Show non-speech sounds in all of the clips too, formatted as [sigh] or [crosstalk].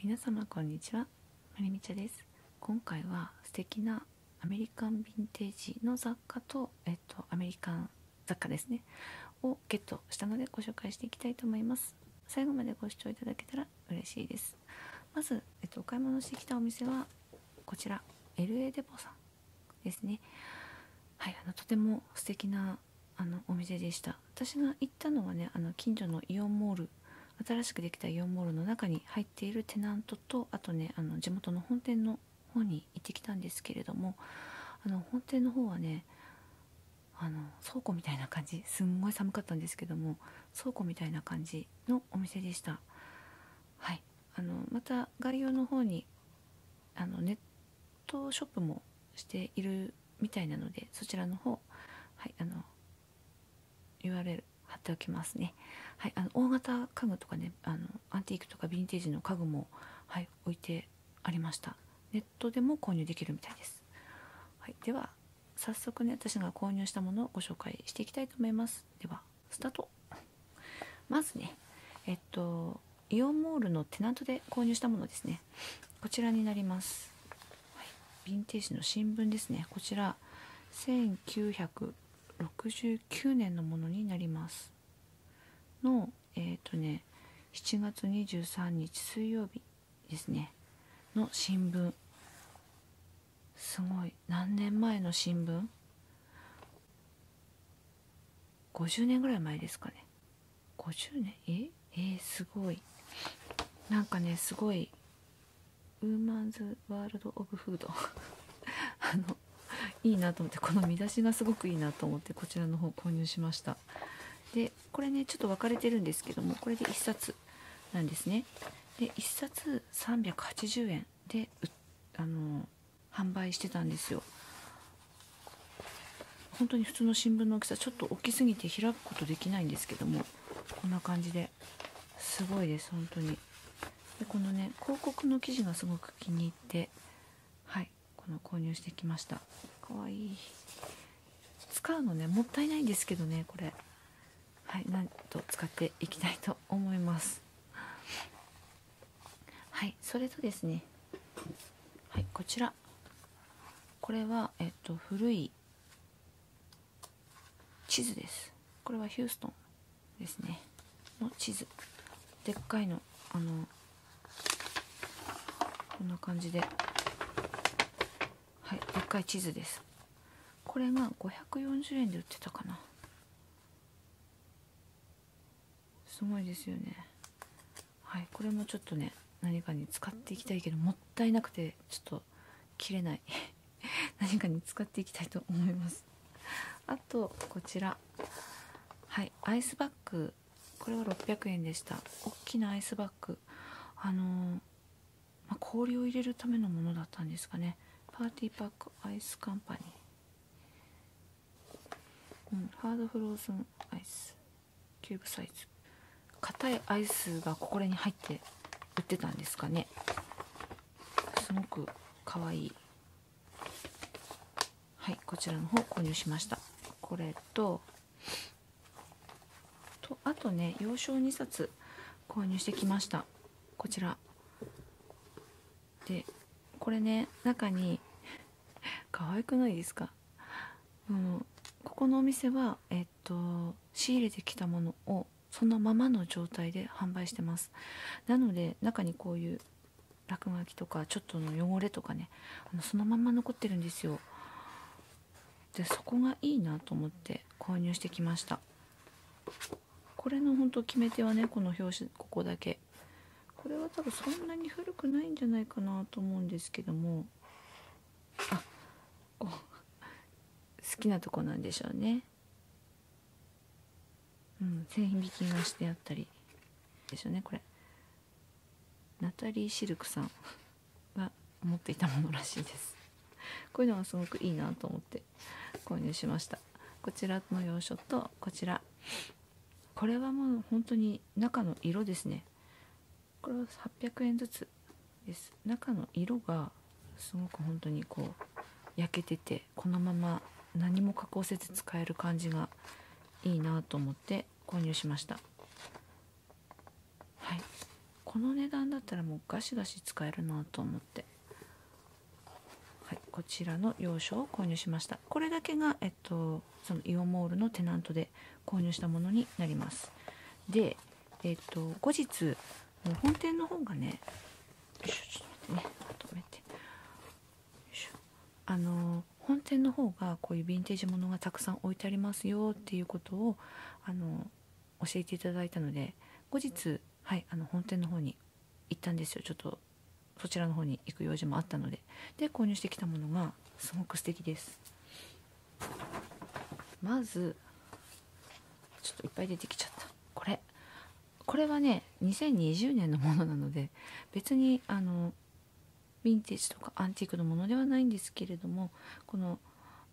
皆様こんにちはまりみちゃです今回は素敵なアメリカンヴィンテージの雑貨と、えっと、アメリカン雑貨ですねをゲットしたのでご紹介していきたいと思います最後までご視聴いただけたら嬉しいですまず、えっと、お買い物してきたお店はこちら LA デポさんですねはいあのとても素敵なあのお店でした私が行ったのはねあの近所のイオンモール新しくできたイオンモールの中に入っているテナントとあとねあの地元の本店の方に行ってきたんですけれどもあの本店の方はねあの倉庫みたいな感じすんごい寒かったんですけども倉庫みたいな感じのお店でしたはいあのまた概要の方にあのネットショップもしているみたいなのでそちらの方、はい、あの URL 貼っておきますね、はい、あの大型家具とかねあのアンティークとかヴィンテージの家具も、はい、置いてありましたネットでも購入できるみたいです、はい、では早速ね私が購入したものをご紹介していきたいと思いますではスタートまずねえっとイオンモールのテナントで購入したものですねこちらになります、はヴィンテージの新聞ですねこちら1969年のものになりますのえっとね7月23日水曜日ですねの新聞すごい何年前の新聞50年ぐらい前ですかね50年ええすごいなんかねすごいウーマンズ・ワールド・オブ・フード [laughs] あのいいなと思ってこの見出しがすごくいいなと思ってこちらの方購入しましたでこれねちょっと分かれてるんですけどもこれで1冊なんですねで1冊380円であの販売してたんですよ本当に普通の新聞の大きさちょっと大きすぎて開くことできないんですけどもこんな感じですごいです本当にでこのね広告の生地がすごく気に入ってはいこの購入してきましたかわいい使うのねもったいないんですけどねこれはいなんと使っていきたいと思いますはいそれとですねはいこちらこれはえっと古い地図ですこれはヒューストンですねの地図でっかいのあのこんな感じではいでっかい地図ですこれが540で売ってたかなすごいですよねはいこれもちょっとね何かに使っていきたいけどもったいなくてちょっと切れない [laughs] 何かに使っていきたいと思いますあとこちらはいアイスバッグこれは600円でした大きなアイスバッグあのまあ、氷を入れるためのものだったんですかねパーティーパックアイスカンパニー、うん、ハードフローズンアイスキューブサイズ硬いアイスがここに入って売ってたんですかねすごくかわいいはいこちらの方購入しましたこれととあとね幼少2冊購入してきましたこちらでこれね中に [laughs] 可愛くないですかもうここのお店は、えっと、仕入れてきたものをそのままの状態で販売してますなので中にこういう落書きとかちょっとの汚れとかねあのそのまま残ってるんですよでそこがいいなと思って購入してきましたこれのほん決め手はねこの表紙ここだけこれは多分そんなに古くないんじゃないかなと思うんですけどもあ好きなとこなんでしょうねうん線引きがしてあったりでしょねこれナタリー・シルクさんが持っていたものらしいです [laughs] こういうのがすごくいいなと思って購入しましたこちらの洋書とこちらこれはもう本当に中の色ですねこれは800円ずつです中の色がすごく本当にこう焼けててこのまま何も加工せず使える感じがいいなと思って購入しましたはいこの値段だったらもうガシガシ使えるなと思ってはいこちらの洋書を購入しましたこれだけがえっとそのイオンモールのテナントで購入したものになりますでえっと後日本店の方がねよいしょちょっと待ってねまとめてよいしょあの本店の方がこういうヴィンテージものがたくさん置いてありますよっていうことをあの教えていただいたので後日、はい、あの本店の方に行ったんですよちょっとそちらの方に行く用事もあったのでで購入してきたものがすごく素敵ですまずちょっといっぱい出てきちゃったこれこれはね2020年のものなので別にあのヴィンテージとかアンティークのものではないんですけれどもこの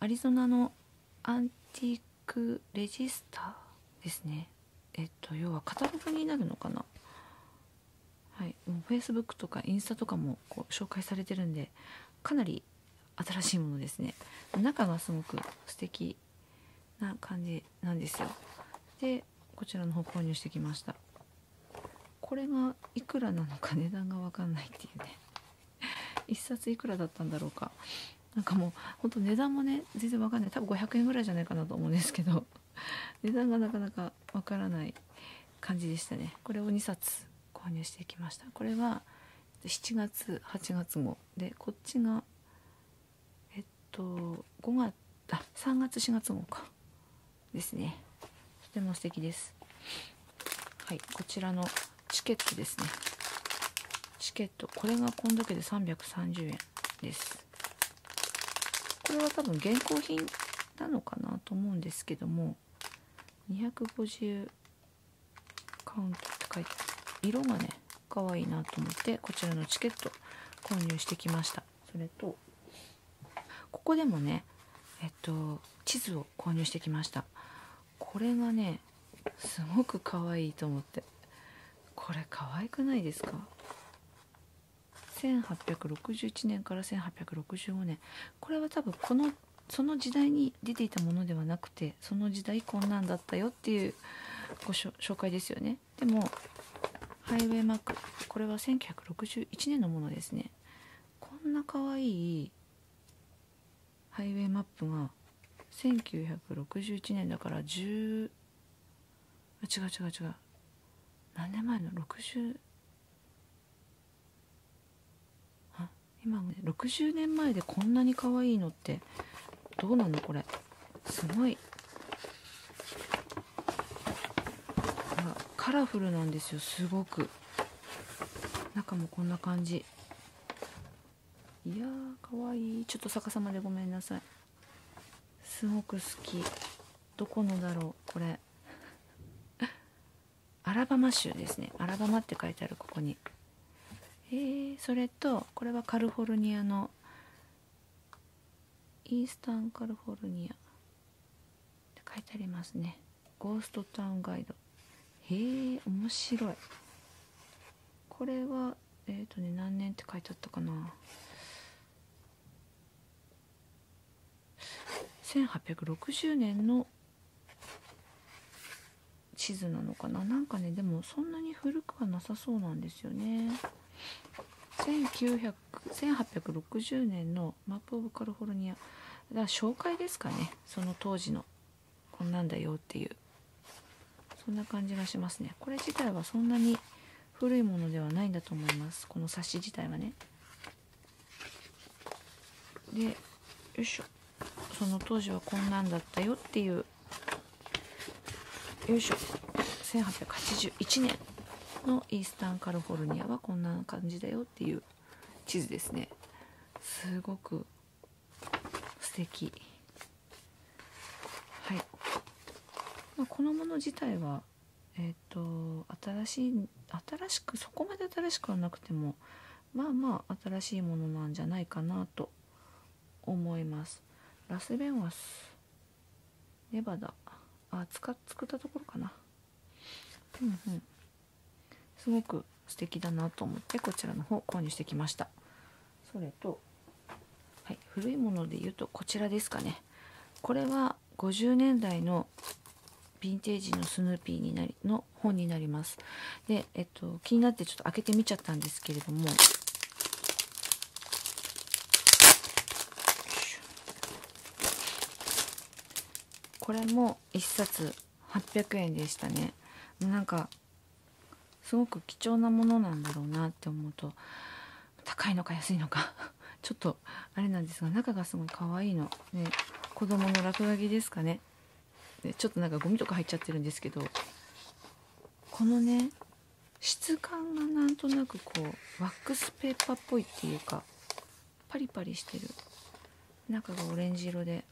アリゾナのアンティークレジスターですねえっと要はカタログになるのかなはいもう Facebook とかインスタとかもこう紹介されてるんでかなり新しいものですね中がすごく素敵な感じなんですよでこちらの方購入してきましたこれがいくらなのか値段が分かんないっていうね1冊いくらだったんだろうかなんかもうほんと値段もね全然わかんない多分500円ぐらいじゃないかなと思うんですけど [laughs] 値段がなかなかわからない感じでしたねこれを2冊購入してきましたこれは7月8月号でこっちがえっと5月あっ3月4月号かですねとても素敵です。はい、こちらのチケットですね。チケット、これがこんだけで330円です。これは多分現行品なのかなと思うんですけども、250カウントって書いて色がね、可愛いなと思って、こちらのチケット購入してきました。それと、ここでもね、えっと、地図を購入してきましたこれがねすごく可愛いと思ってこれ可愛くないですか1861年から1865年これは多分このその時代に出ていたものではなくてその時代こんなんだったよっていうご紹介ですよねでもハイウェイマックこれは1961年のものですねこんな可愛いハイウェイマップが1961年だから10違う違う違う何年前の60あ今ね60年前でこんなに可愛いのってどうなのこれすごいカラフルなんですよすごく中もこんな感じいやーかわいいちょっと逆さまでごめんなさいすごく好きどこのだろうこれ [laughs] アラバマ州ですねアラバマって書いてあるここにへえそれとこれはカリフォルニアのイースタンカリフォルニア書いてありますねゴーストタウンガイドへえ面白いこれはえっ、とね何年って書いてあったかな1860年の地図なのかななんかねでもそんなに古くはなさそうなんですよねマップ・オブ・カルフォルニアだから紹介ですかねその当時のこんなんだよっていうそんな感じがしますねこれ自体はそんなに古いものではないんだと思いますこの冊子自体はねでよいしょその当時はこんなんだったよっていうよいしょ1881年のイースタンカルフォルニアはこんな感じだよっていう地図ですねすごく素敵はい、まこのもの自体はえっ、と新しい新しくそこまで新しくはなくてもまあまあ新しいものなんじゃないかなと思いますラスベンは？スネバダあ使っ作ったところかなうんうんすごく素敵だなと思ってこちらの方購入してきましたそれと、はい、古いもので言うとこちらですかねこれは50年代のヴィンテージのスヌーピーになりの本になりますで、えっと、気になってちょっと開けてみちゃったんですけれどもこれも1冊800円でしたねなんかすごく貴重なものなんだろうなって思うと高いのか安いのか [laughs] ちょっとあれなんですが中がすごい可愛いので、ね、子供の落書きですかねでちょっとなんかゴミとか入っちゃってるんですけどこのね質感がなんとなくこうワックスペーパーっぽいっていうかパリパリしてる中がオレンジ色で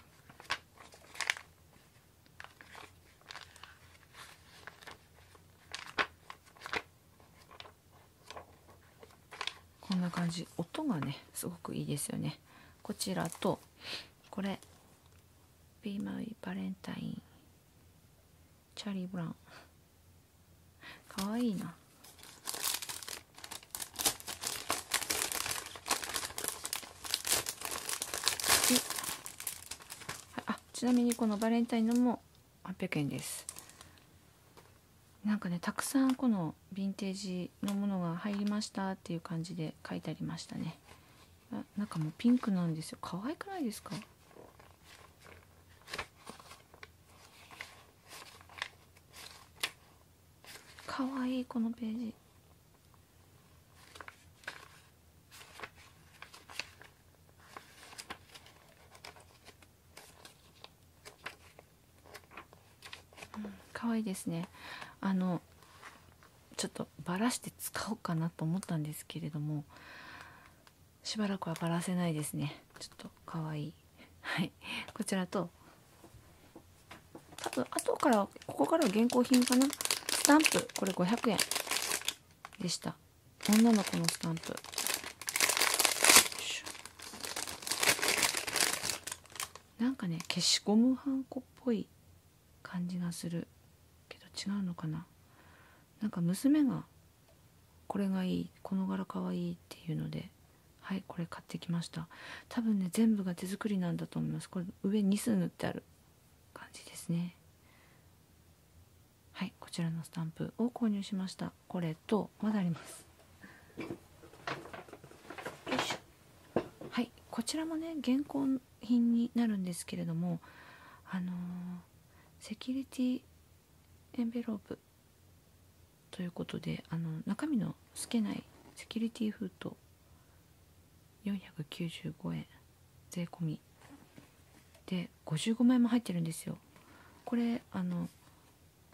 こんな感じ音がねすごくいいですよねこちらとこれ「ビーマイバレンタイン」チャーリー・ブラウンかわいいなあちなみにこのバレンタインのも800円ですなんかねたくさんこのヴィンテージのものが入りましたっていう感じで書いてありましたねあなんかもうピンクなんですよ可愛くないですかかわいいこのページ可愛いですねあのちょっとばらして使おうかなと思ったんですけれどもしばらくはバらせないですねちょっとかわいいはいこちらと多分後からここからは現行品かなスタンプこれ500円でした女の子のスタンプなんかね消しゴムはんこっぽい感じがするけど違うのかななんか娘がこれがいいこの柄かわいいっていうのではいこれ買ってきました多分ね全部が手作りなんだと思いますこれ上2数塗ってある感じですねはいこちらのスタンプを購入しましたこれとまだありますはいこちらもね現行品になるんですけれどもあのセキュリティエンベロープということであの中身の透けないセキュリティ封筒495円税込みで55枚も入ってるんですよこれあの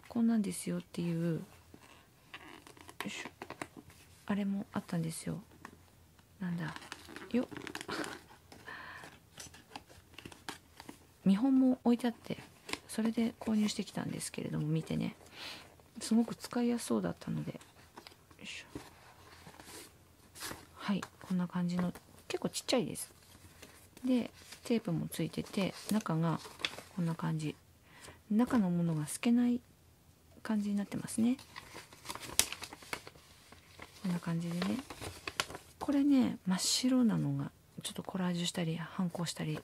こんなんですよっていうあれもあったんですよなんだよ見本も置いてあってそれで購入してきたんですけれども見てねすごく使いやすそうだったのではいこんな感じの結構ちっちゃいですでテープもついてて中がこんな感じ中のものが透けない感じになってますねこんな感じでねこれね真っ白なのがちょっとコラージュしたり反抗したり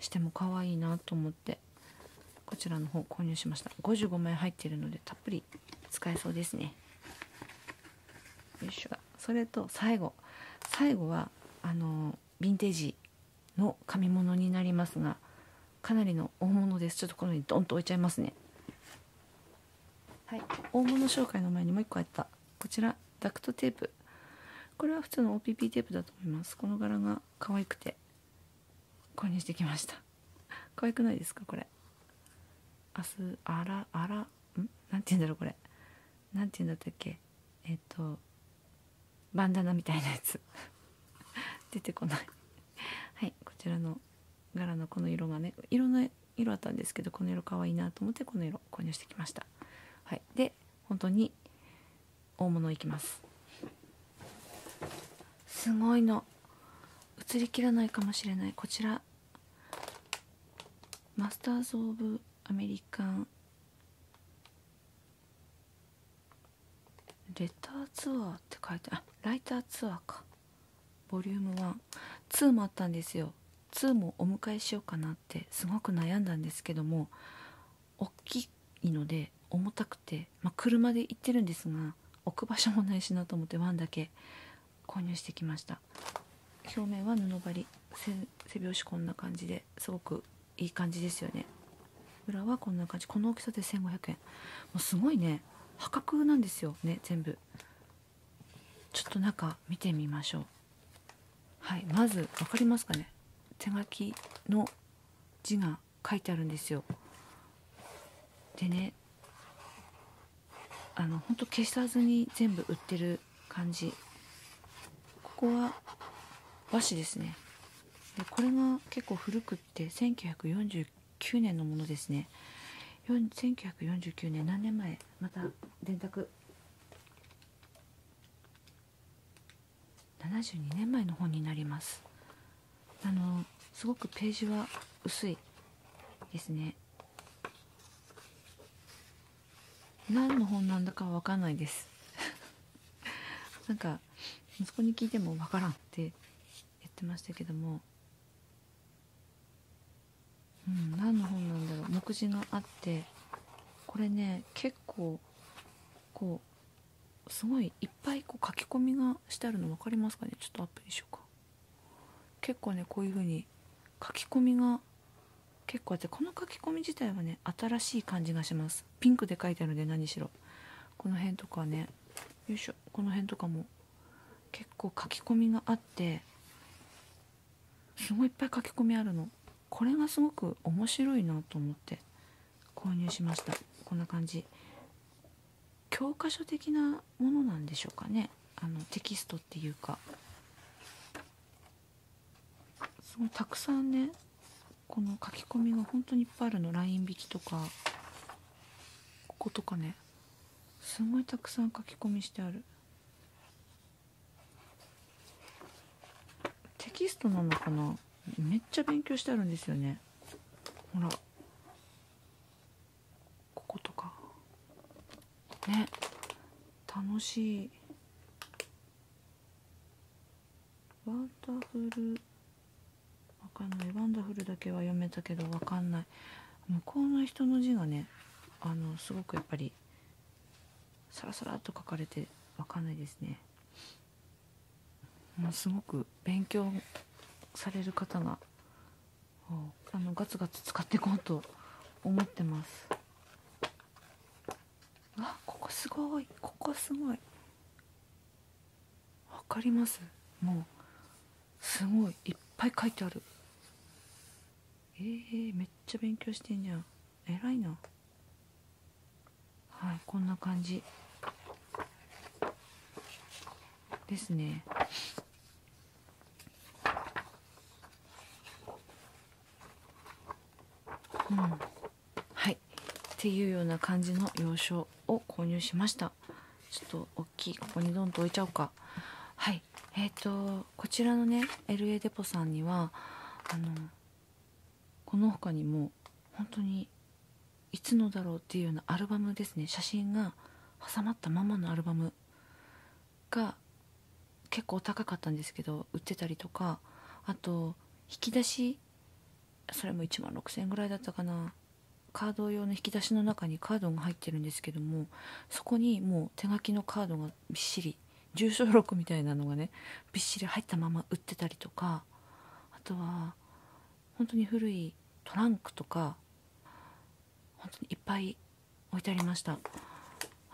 しても可愛いなと思ってこちらの方購入しました55枚入ってるのでたっぷり使えそうですねよいしょそれと最後最後はあのヴィンテージの紙物になりますがかなりの大物ですちょっとこのようにドンと置いちゃいますねはい大物紹介の前にもう一個あったこちらダクトテープこれは普通の OPP テープだと思いますこの柄が可愛くて購入してきました可愛くないですかこれ明日あらあらんなて言うんだろうこれなて言うんだったっけえっとバンダナみたいなやつ [laughs] 出てこないはいこちらの柄のこの色がね色の。ん色あったんですけどこの色かわいなと思ってこの色購入してきました、はい、で本当に大物いきますすごいの映りきらないかもしれないこちらマスターズ・オブ・アメリカンレターツアーって書いてあライターツアーかボリューム1 2もあったんですよ2もお迎えしようかなってすごく悩んだんですけども大きいので重たくて、ま車で行ってるんですが置く場所もないしなと思って1だけ購入してきました表面は布張り背拍子こんな感じですごくいい感じですよね裏はこんな感じこの大きさで1500円もうすごいね破格なんですよね全部ちょっと中見てみましょうはいまず分かりますかね手書きの字が書いてあるんですよでねあのほんと消さずに全部売ってる感じここは和紙ですねでこれが結構古くって1949年のものですね1949年何年前また電卓72年前の本になりますあのすごくページは薄いですね何の本なんだかわかんないです [laughs] なんか息子に聞いてもわからんって言ってましたけどもうん、何の本なんだろう目次があってこれね結構こうすごいいっぱいこう書き込みがしてあるの分かりますかねちょっとアップにしようか結構ねこういう風に書き込みが結構あってこの書き込み自体はね新しい感じがしますピンクで書いてあるので何しろこの辺とかねよいしょこの辺とかも結構書き込みがあってすごいいっぱい書き込みあるのこれがすごく面白いなと思って購入しましたこんな感じ教科書的なものなんでしょうかねあのテキストっていうかすごいたくさんねこの書き込みが本当にいっぱいあるの LINE 引きとかこことかねすごいたくさん書き込みしてあるテキストなのかなめっちゃ勉強してあるんですよねほらこことかね楽しいワンダフルわかんないワンダフルだけは読めたけどわかんない向こうの人の字がねあのすごくやっぱりサラサラっと書かれて分かんないですね。もうすごく勉強される方があのガツガツ使っていこうと思ってます。あここすごいここすごい分かりますもうすごいいっぱい書いてあるえー、めっちゃ勉強してんじゃん偉いなはいこんな感じですねうんはいっていうような感じの洋書を購入しましたちょっと大ここにどんと置いちゃうかはいえっ、とこちらのね LA デポさんにはあのこの他にも本当にいつのだろうっていうようなアルバムですね写真が挟まったままのアルバムが結構高かったんですけど売ってたりとかあと引き出しそれも1万6000円ぐらいだったかなカード用の引き出しの中にカードが入ってるんですけどもそこにもう手書きのカードがびっしり住所録みたいなのがねびっしり入ったまま売ってたりとかあとは本当に古いトランクとか本当にいっぱい置いてありました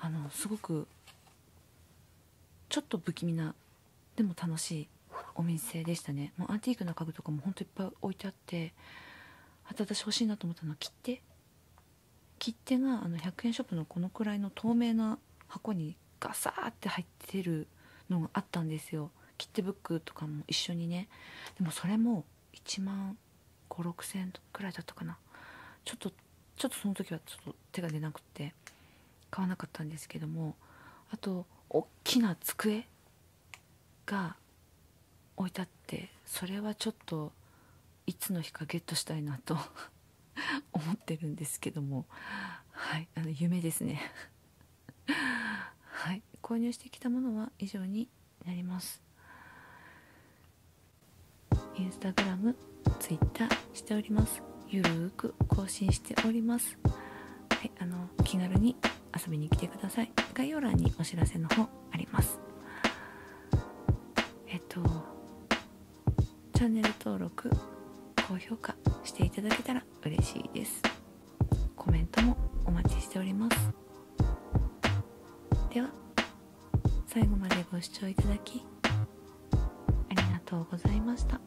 あのすごくちょっと不気味なでも楽しいお店でしたねってあと私欲しいなと思ったのは切手切手があの100円ショップのこのくらいの透明な箱にガサーって入ってるのがあったんですよ切手ブックとかも一緒にねでもそれも1万56000円くらいだったかなちょっとちょっとその時はちょっと手が出なくって買わなかったんですけどもあと大きな机が置いてあってそれはちょっといつの日かゲットしたいなと [laughs] 思ってるんですけどもはいあの夢ですねはい購入してきたものは以上になりますインスタグラムツイッターしておりますゆるーく更新しておりますあの気軽に遊びに来てください概要欄にお知らせの方ありますえっとチャンネル登録高評価していただけたら嬉しいですコメントもお待ちしておりますでは最後までご視聴いただきありがとうございました。